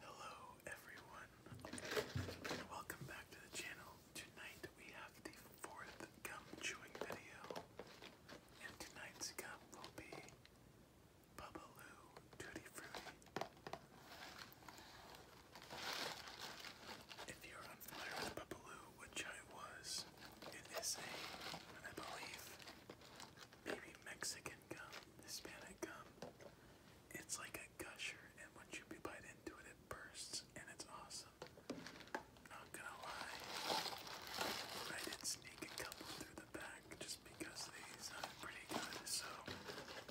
Hello everyone, welcome back to the channel. Tonight we have the fourth gum chewing video, and tonight's gum will be Bubbaloo Tutti Frutti. If you're unfamiliar with Bubbaloo, which I was, it is a, I believe, maybe Mexican gum, Hispanic gum. It's like a gusher, and once you bite into it, it bursts, and it's awesome. Not gonna lie, I did sneak a couple through the back just because they sounded pretty good, so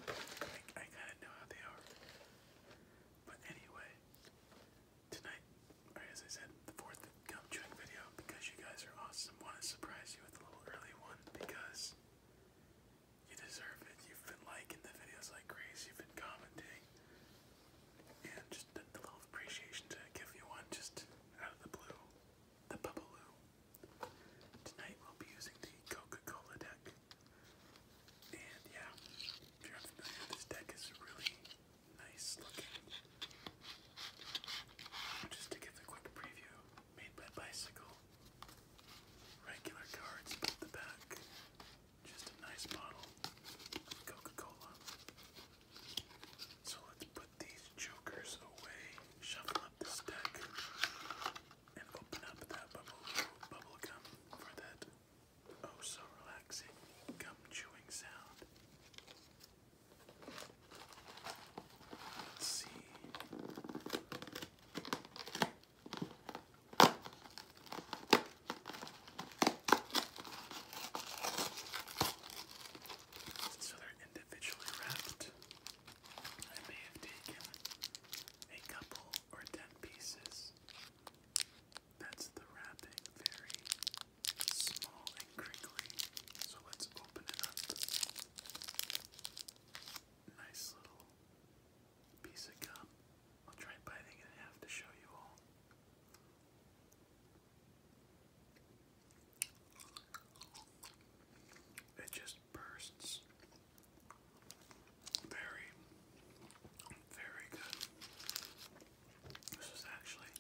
I, I kind of know how they are. But anyway, tonight, as I said, the fourth the gum video because you guys are awesome. Want to surprise you with a little early one because you deserve it. You've been liking the videos like crazy. You've been commenting, and just a little appreciation to give you one just out of the blue. The Bubbaloo. Tonight we'll be using the Coca-Cola deck. And yeah, if you're unfamiliar, this deck is really nice looking. Just to give a quick preview, made by Bicycle. Regular cards the back. Just a nice bottle Coca-Cola. So let's put these jokers away, shuffle up this deck, and open up that bubble gum for that oh so relaxing gum chewing sound. Let's see. So they're individually wrapped. I may have taken a couple or ten pieces. That's the wrapping, very small and crinkly. So let's open it up. Nice little piece of gum. I'll try biting it in half to show you all. It just bursts. Very, very good. This is actually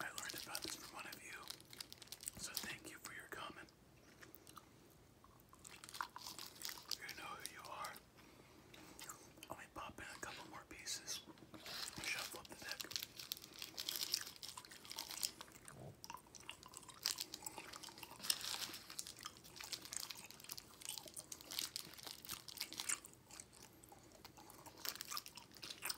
I learned about this from one of you, so thank you for your comment. You know who you are. Let me pop in a couple more pieces shuffle the deck.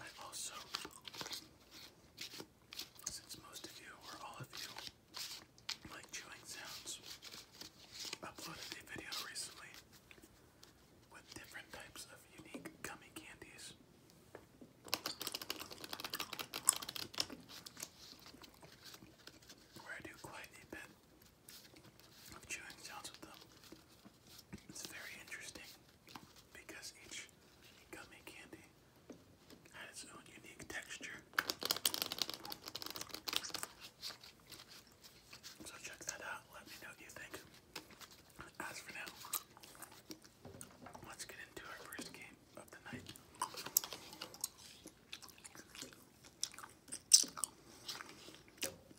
I also, since most of you or all of you like chewing sounds, uploaded a video recently with different types of unique gummy candies. Where I do quite a bit of chewing sounds with them. It's very interesting because each gummy candy has its own unique texture. So check that out. Let me know what you think. As for now, let's get into our first game of the night.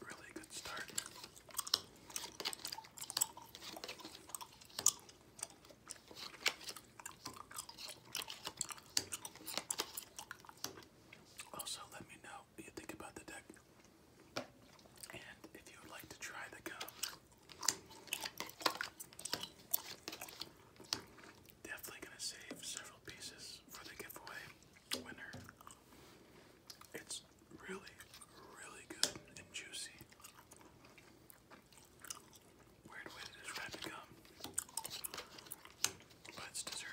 Really good start. Also, let me know what you think about the deck and if you would like to try the gum. Definitely going to save several pieces for the giveaway winner. It's really, really good and juicy. Weird way to describe gum, but it's deserving.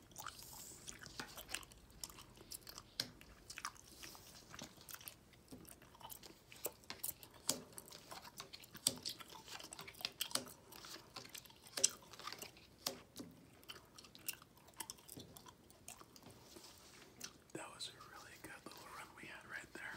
That was a really good little run we had right there.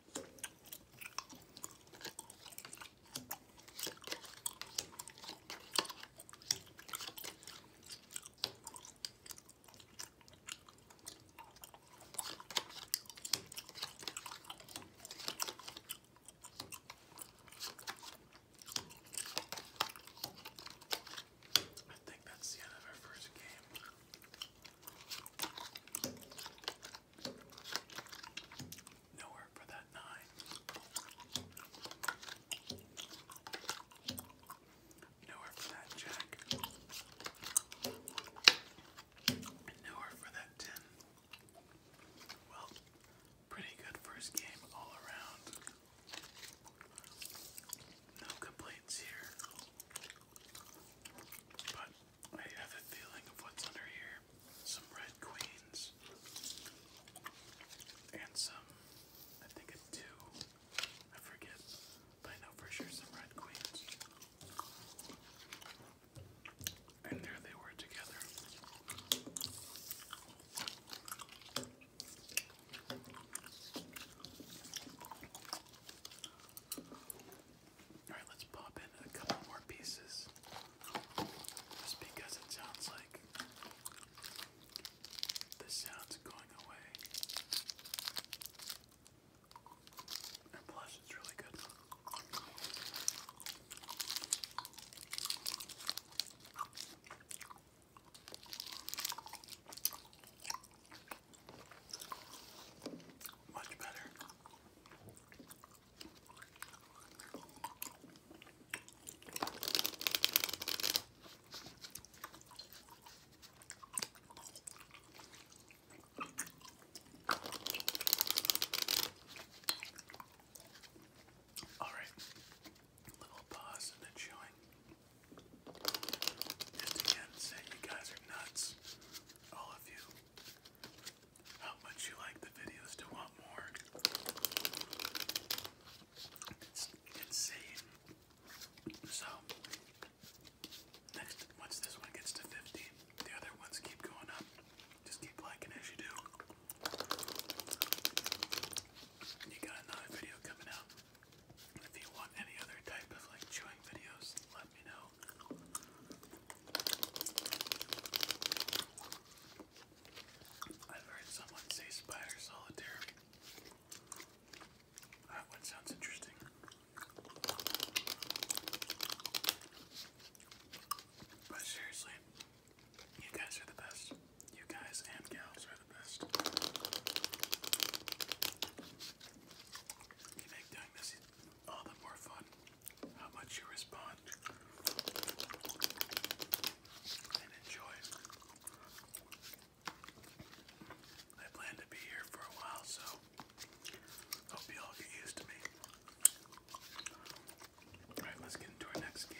I think that's the end of our first game. Nowhere for that nine. Nowhere for that jack. And nowhere for that ten. Well, pretty good first game all around. No complaints here. But I have a feeling of what's under here. Some red queens. And some, I think a two. I forget. But I know for sure some red queens. And there they were together. Alright, let's pop in a couple more pieces. Just because it sounds like the sound's going away. And plus, it's really good. Much better. All right, little pause and then showing. Just again, say you guys are nuts, all of you how much you like the videos to want more. It's insane. So, next, once this one gets to 50, the other ones keep going up. Just keep liking as you do. You got another video coming out. If you want any other type of like chewing videos, let me know. I've heard someone say spider solitaire. That one sounds interesting. But seriously, you guys are the best. You guys and gals are the best. You make doing this all the more fun how much you respond and enjoy. I plan to be here for a while, so hope you all get used to me. Alright, let's get into our next game.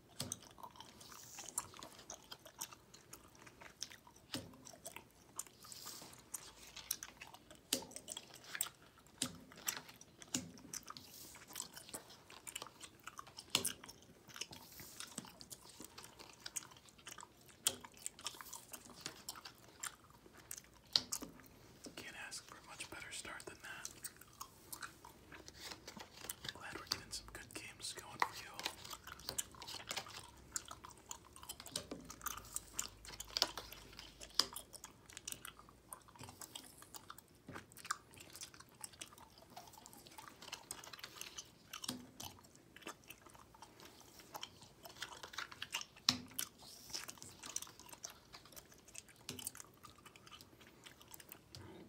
Can't ask for a much better start than that. Glad we're getting some good games going for you.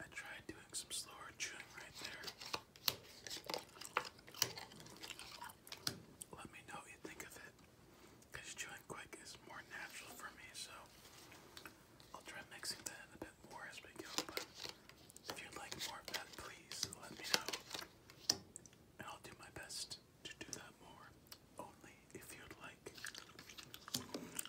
I tried doing some slower chewing right there. Let me know what you think of it. Because chewing quick is more natural for me, so I'll try mixing that in a bit more as we go. But if you like more of that, please let me know. I'll do my best to do that more. Only if you'd like.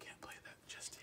Can't play that just yet.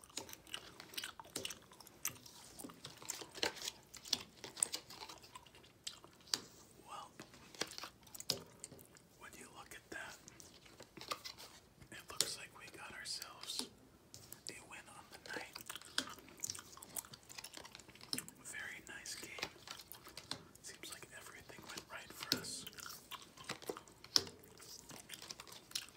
Well, when you look at that, it looks like we got ourselves a win on the night. Very nice game. Seems like everything went right for us.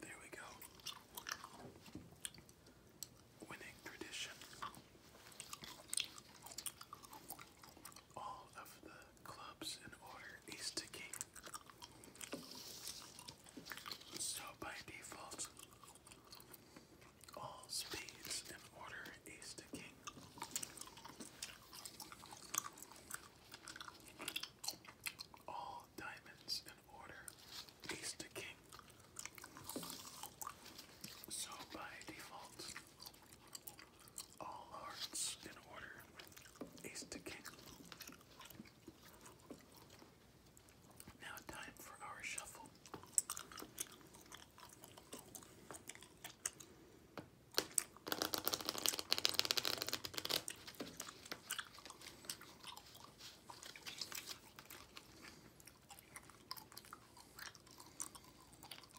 There we go. Winning tradition. All of the clubs in order, is to king. So by default, all spades in order, ace to king. All diamonds in order, ace to king. So by default, all hearts in order, ace to king. Now time for our shuffle.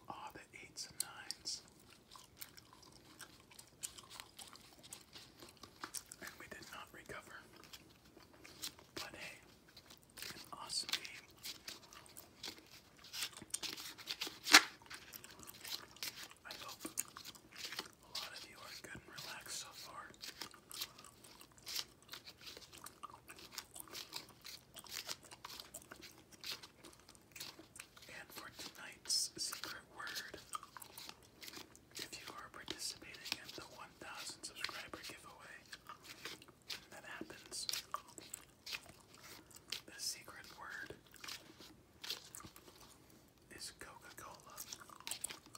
Ah, oh, the eights and nines. And we did not recover. But hey, an awesome game. I hope a lot of you are good and relaxed so far. And for tonight's secret word, if you are participating in the 1000 subscriber giveaway that happens, the secret word is Coca-Cola.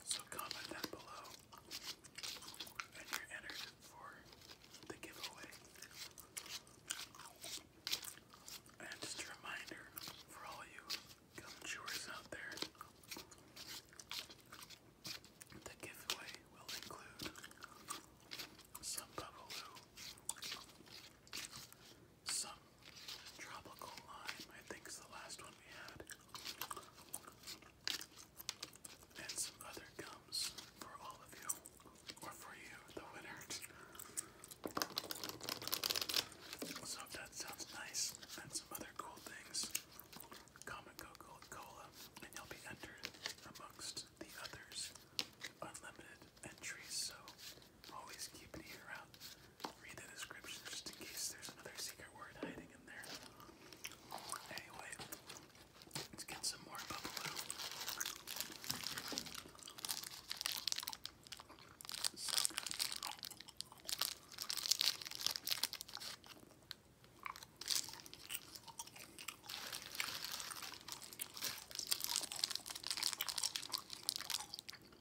So comment down below and you're entered for the giveaway. And just a reminder for all you gum chewers out there, the giveaway will include some Bubbaloo, some tropical lime, I think is the last one we had. And some other gums for all of you, or for you, the winner. So if that sounds nice, and some other cool things, comment Coca-Cola, and you'll be entered amongst the others. Unlimited entries, so always keep an ear out. Read the description just in case there's another secret word hiding in there. Anyway, let's get some more bubble. So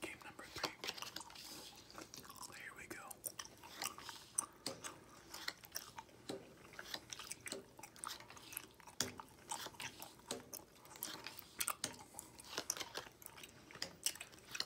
Game number three. Here we go.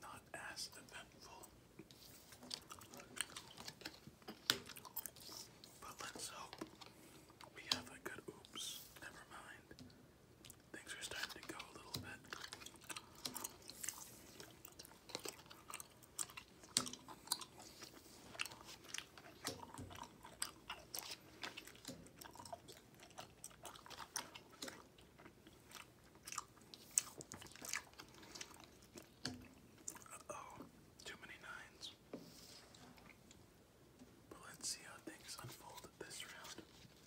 Not as eventful, but let's hope we have a good oops. Never mind, things are starting to go a little bit too many nines. let's see how things unfold this round.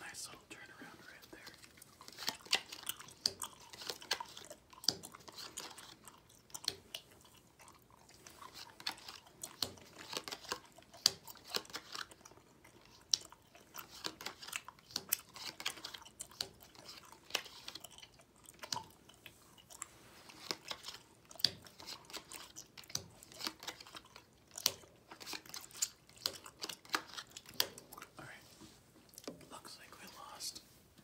Nice little turnaround right there. All right. Looks like we lost,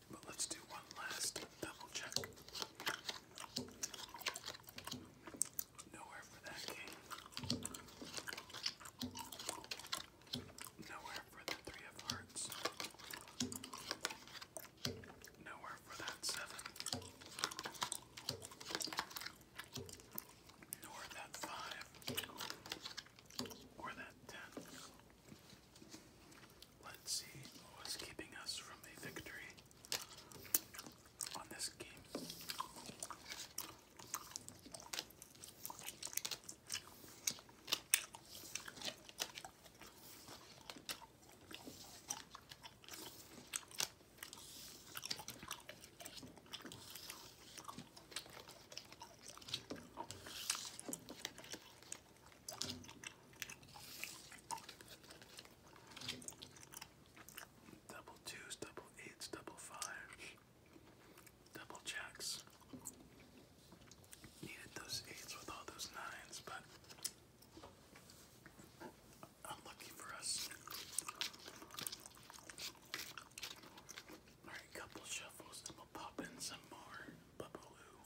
but let's do one last double check. Nowhere for that game. Nowhere for the three of hearts. Nowhere for that seven. Nor that five. Or that ten. Let's see what's keeping us from a victory on this game. Double twos, double eights, double fives. Double checks. Needed those eights with all those nines, but unlucky for us. Alright, couple shuffles, we'll pop in some more Bubbaloo.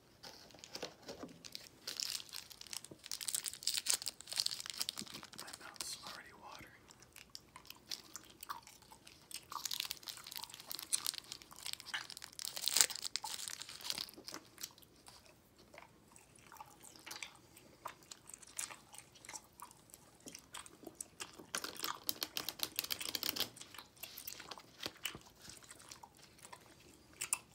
My mouth's already watering.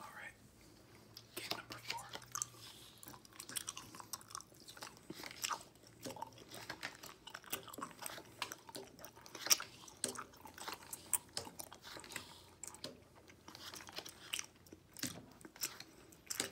All right, game number four.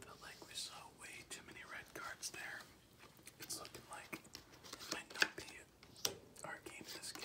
Felt like we saw way too many red cards there. It's looking like might not be our game this game.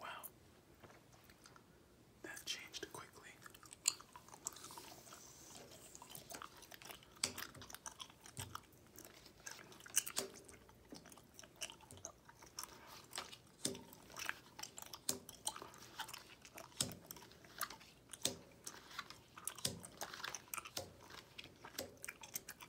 Wow. That changed quickly.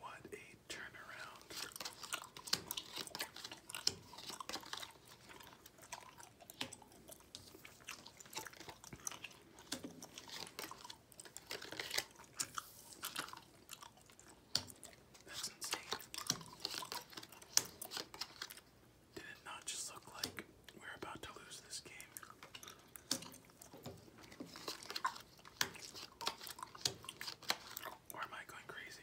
What a a turnaround. Did it not just look like we're about to lose this game? Or am I going crazy?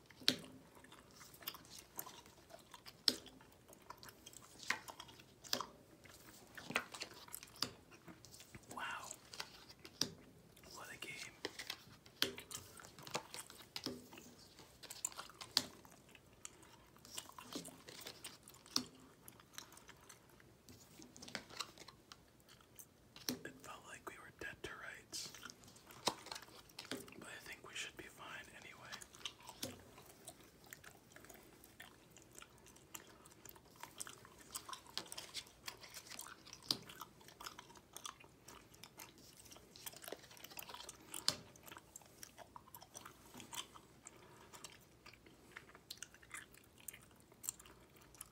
Wow. What a game. It felt like we were dead to rights. But I think we should be fine anyway.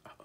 Uh oh.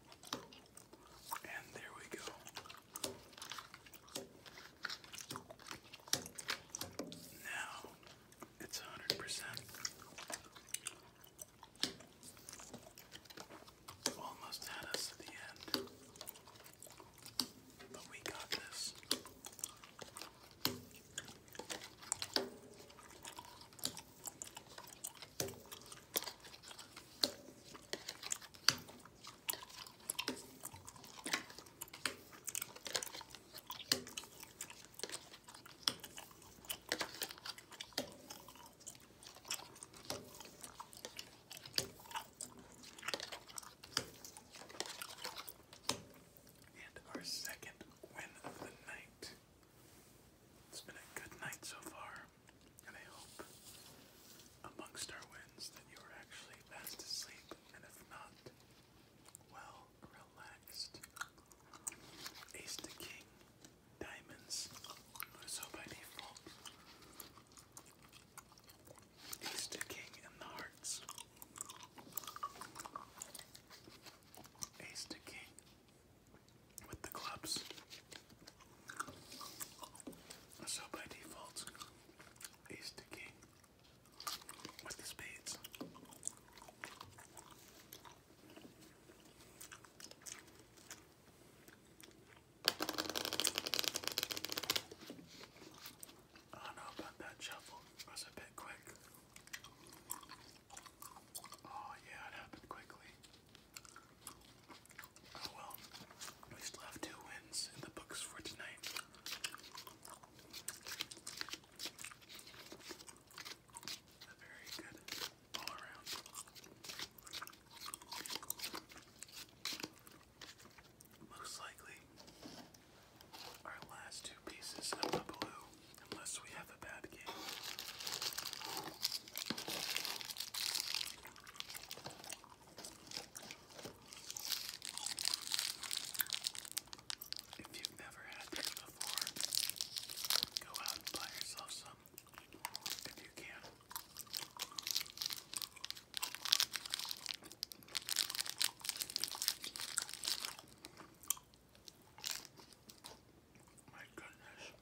And there we go. Now it's a hundred percent almost had us at the end. But we got this. And our second win of the night. It's been a good night so far and I hope amongst our wins that you are actually fast asleep, and if not, well relaxed. Ace to king, diamonds. So by default, ace to king and the hearts. Ace to king, with the clubs. So by default, ace to king with the spades. I don't know about that shuffle. was a bit quick. Oh yeah, it happened quickly. Oh well, we still have two wins in the books for tonight. very good all around. Most likely, our last two pieces of the blue, unless we have a bad game. If you've never had this before, go out and buy yourself some if you can. My goodness.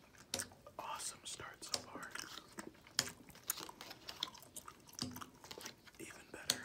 Awesome start so far. Even better.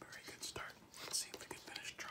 Very good start. Let's see if we can finish drawing.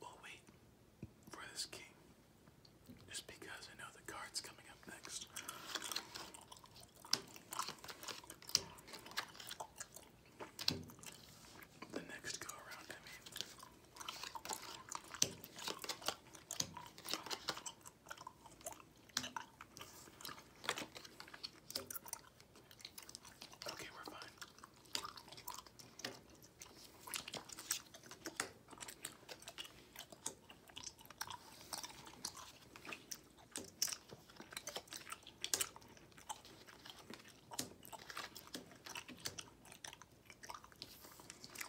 We'll wait for this king just because I know the card's coming up next. The next go around, Okay, we're fine.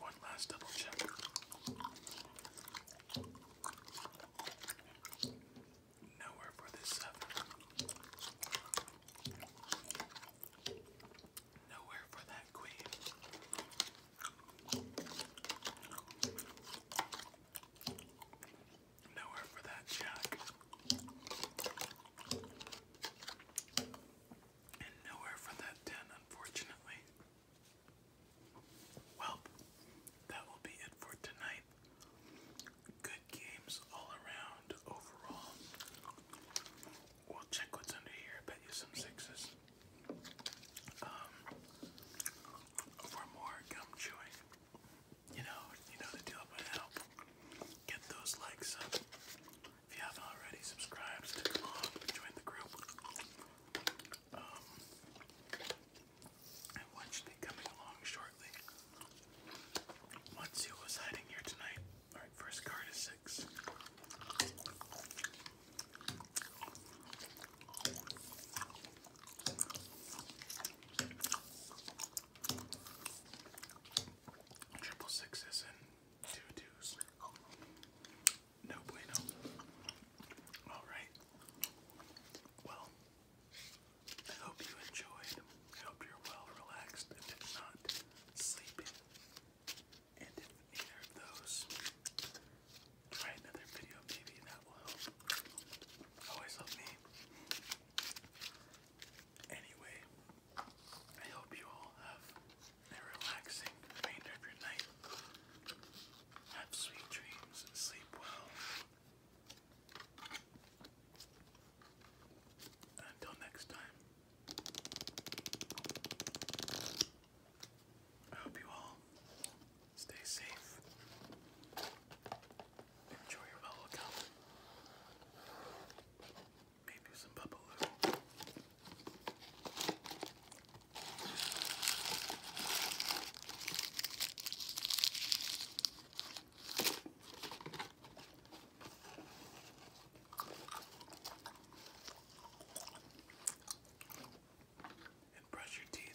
One last double check. Nowhere for this seven. Nowhere for that queen. Nowhere for that jack. And nowhere for that ten, unfortunately. Well, that will be it for tonight. Good games all around overall. We'll check what's under here, bet you some sixes. Um, for more gum chewing you know, you know the deal by now. Get those likes up. If you haven't already, subscribe, stick along, join the group. Um, and watch the coming along shortly. Once was hiding here tonight. Alright, first card is six. Triple sixes and two twos. No bueno. Alright. Well, I hope you enjoyed. I hope you're well relaxed and did not sleep in. And if neither of those, try another video maybe that will help. Always help me. Anyway, I hope you all have a relaxing remainder of your night. Have sweet dreams and sleep well. Until next time, I hope you all stay safe. Enjoy your bubblegum. Maybe some bubbaloo. And brush your teeth.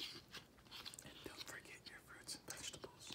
And don't forget your fruits and vegetables.